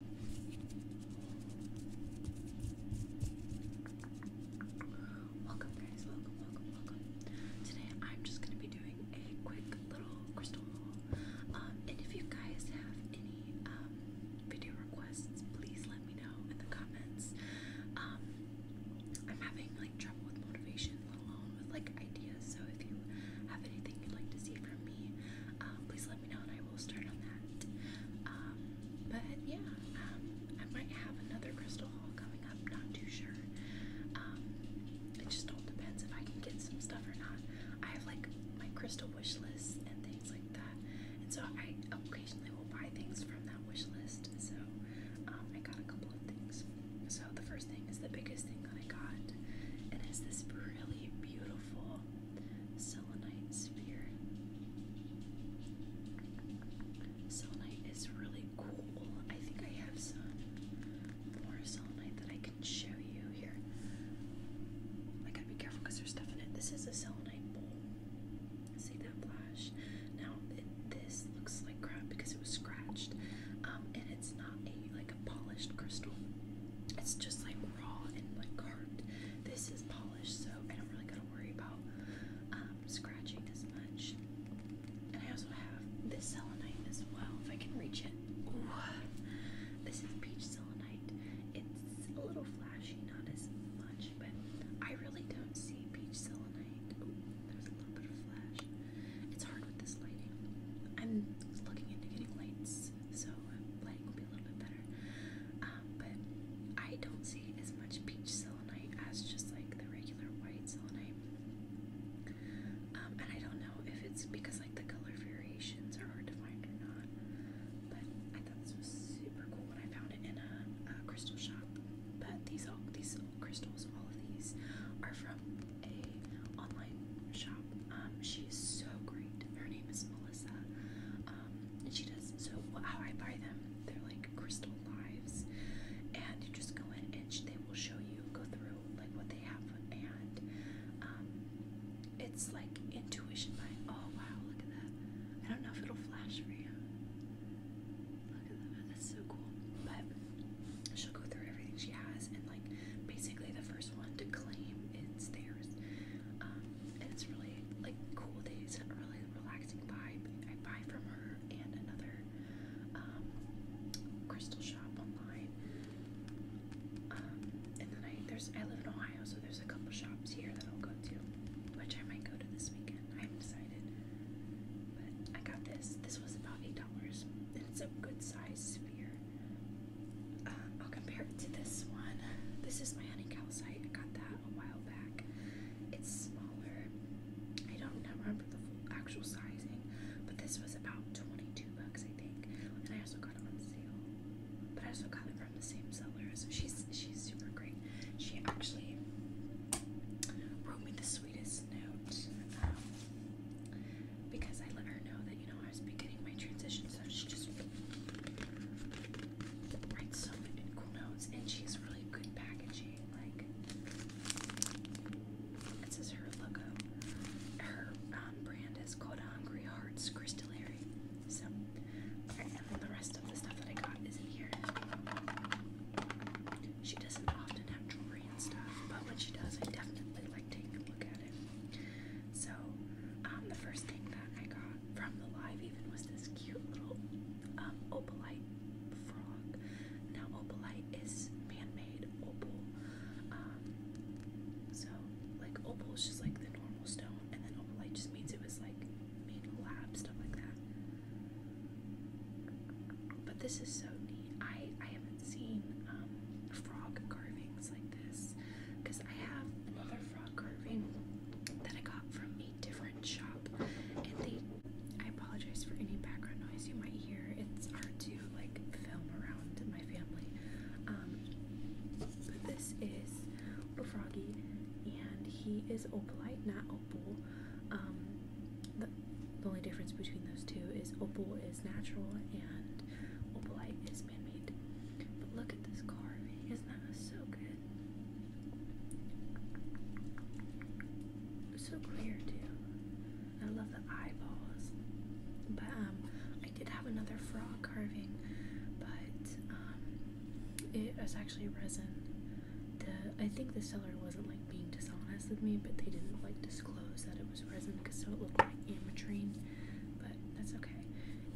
Welcome guys, welcome, welcome, welcome. Today I'm just gonna be doing a quick little crystal haul. Um, and if you guys have any um, video requests, please let me know in the comments. Um, I'm having like trouble with motivation, let alone with like ideas. So if you have anything you'd like to see from me, uh, please let me know and I I will start on that. Um, but yeah, um, I might have another crystal haul coming up. Not too sure. Um, it just all depends if I can get some stuff or not. I have like my crystal wish list and things like that, and so I occasionally will buy things from that wish list. So I got a couple of things. So the first thing is the biggest thing that I got, and it's this really beautiful selenite sphere. Selenite is really cool. I think I have some more selenite that I can show you here. I gotta be careful because there's stuff in it. This is a selenite bowl. See that flash? Now, this looks like crap because it was scratched, um, and it's not a like a polished crystal. It's just like raw and like carved. This is polished, so I don't really gotta worry about um, scratching as much. And I also have this selenite as well, if I can reach it. This is peach selenite. It's a little flashy, not as much, but I really don't see peach selenite. Ooh, there's a little bit of flash. It's hard with this lighting. I'm looking into getting lights so uh, playing will be a little bit better. Um, but I don't see as much peach selenite as just like the regular white selenite. Um, and I don't know if it's because like the color variations are hard to find or not. But I thought this was super cool when I found it in a crystal shop. But these all these crystals, all of these, are from a online shop. Um, she's so great. Her name is Melissa. Um, and she does so how I buy them. They're like crystal lives, and you just go in and they will show you go through like what they have, and um, it's like intuition buying. Oh wow, look at that! I don't know if it'll flash for you. Look at that. That's so cool. But she'll go through everything she has and like basically the first one to claim it's theirs. Um, and it's really like cool days, a really relaxing vibe. I buy from her and another um, crystal shop online. Um, and then I there's I live in Ohio, so there's a couple shops here that I'll go to, which I might go to this weekend. I haven't decided. But I got this. This was about eight dollars. It's a good size sphere. Uh, I'll compare it to this one. This is my honey calcite. I got that a while back. It's smaller. I don't remember the full actual sizing, but this was about 22 bucks, I think. And I also got it on sale. But I also got it from the same seller. So she's she's super great. She actually wrote me the sweetest note. Um, because I let her know that you know I was beginning my transition, so she just writes so many cool notes, and she's really good packaging. Like this is her logo. Her um, brand is called Hungry um, Hearts Crystallary. So, and then the rest of the stuff that I got is in here. She doesn't often have jewelry and stuff, but when she does, I definitely like taking a look at it. So, um, the first thing that I got from the live even was this cute little um, opalite frog. Now, opalite is man-made opal. Um, so, like opal is just like the normal stone, and then opalite just means it was like made in a lab, stuff like that. But this is so neat. I I have have seen um, frog carvings like this because I have another frog carving that I got from a different shop and they I apologize for any background noise you might hear. It's hard to like film around my family. Um, but this is a Froggy and he is opalite, not opal. Um, the, the only difference between those two is opal is natural and Opalite is man But look at this carving. Isn't that so good? It's so clear too. I love the eyeballs. But um, I did have another frog carving, but um, it was actually resin. I think the seller wasn't like being dishonest with me, but they didn't like disclose that it was was resin because so it looked like ametrine, but that's okay.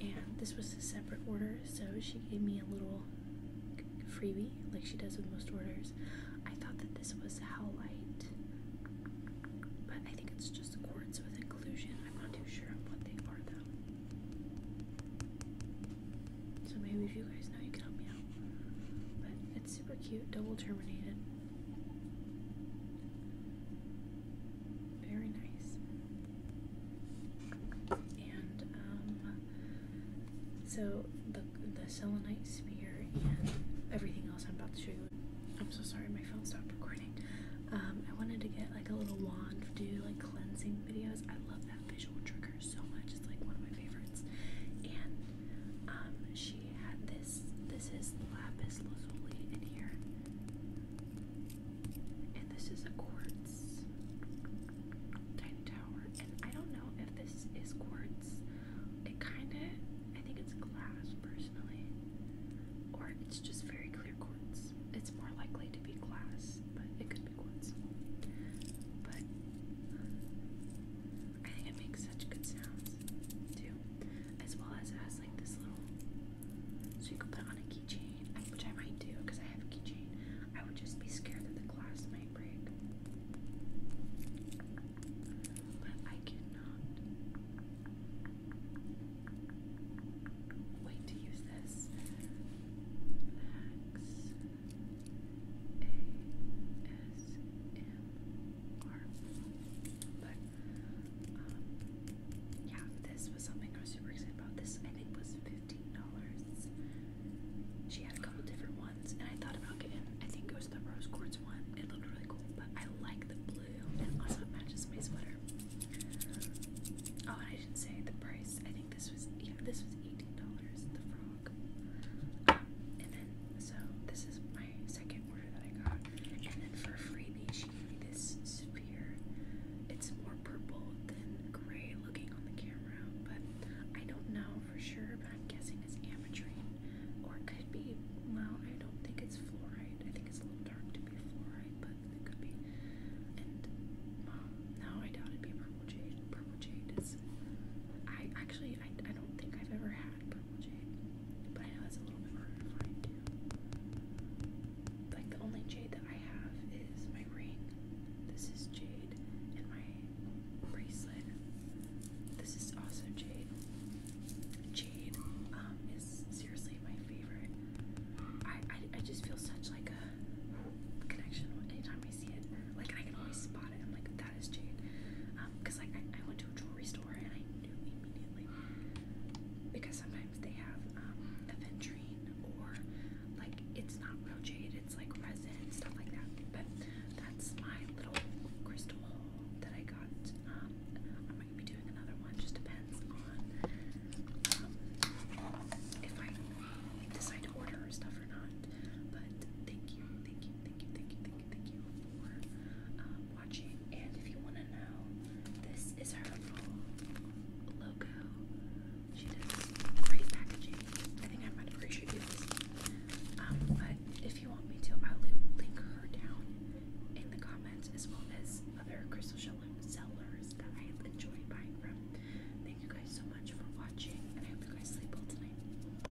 And this was a separate order, so she gave me a little freebie, like she does with most orders. I thought that this was Howlite, but I think it's just quartz with inclusion. I'm not too sure on what they are though. So maybe if you guys know, you can help me out. It's super cute, double terminated. Very nice. And um, so the the selenite spear and everything else I'm about to show you. I'm so sorry, my phone stopped recording. Um, I wanted to get like a little wand to do like cleansing videos. I love that visual trigger so much. It's like one of my favorites. And um, she had this. This is lapis lazuli in here, and this is a quartz tiny tower. And I don't know if this is quartz. It kind of. I think it's glass personally, or it's just very clear quartz. It's more likely to be glass, but it could be quartz. But I think it makes such good sounds too as well as has like this little so you can put on a keychain, which I might do because I have a keychain. I would just be scared that the glass might break. But I cannot wait to use this. But um, yeah, this was something I was super excited about. This I think was fifteen dollars. She had a couple different ones, and I thought about getting. I think it was the rose quartz one. It looked really cool, but I like the blue, and also it matches my sweater. Oh, and I didn't say the price. I think this was yeah, this was eighteen dollars. The frog, um, and then so this is my second that I got. And then for freebies freebie, she gave me this sphere. It's more purple than gray looking on the camera, but I don't know for sure, but I'm guessing it's ametrine. Or it could be, well, I don't think it's fluoride. I think it's a little dark to be fluoride, but it could be. And, no, I doubt it'd be purple jade. Purple jade is. I actually, I, I don't think I've ever had purple jade. But I know a little bit hard to too. Like the only jade that I have is my ring. This is jade, and my bracelet. This is also jade. Jade um, is seriously my favorite. I, I I just feel such like a connection anytime I see it. Like I can always spot bought it. I'm like, that is Jade. Um, Because like, I, I went to a jewelry store and I knew immediately. Because sometimes they have um, aventurine or like, it's not real jade, it's like resin and stuff like that. But that's my little crystal haul that I got. Um, I'm going to be doing another one. Just depends on um, if I decide to order stuff or not. But thank you, thank you, thank you, thank you, thank you, Thank you for um, watching. And if you want to know, this is her logo. She does great packaging. I think I might have this. Um, but if you want me to, I'll link her down in the comments as well as other crystal sellers that I enjoy buying from. Thank you guys so much for watching, and I hope you guys sleep well tonight.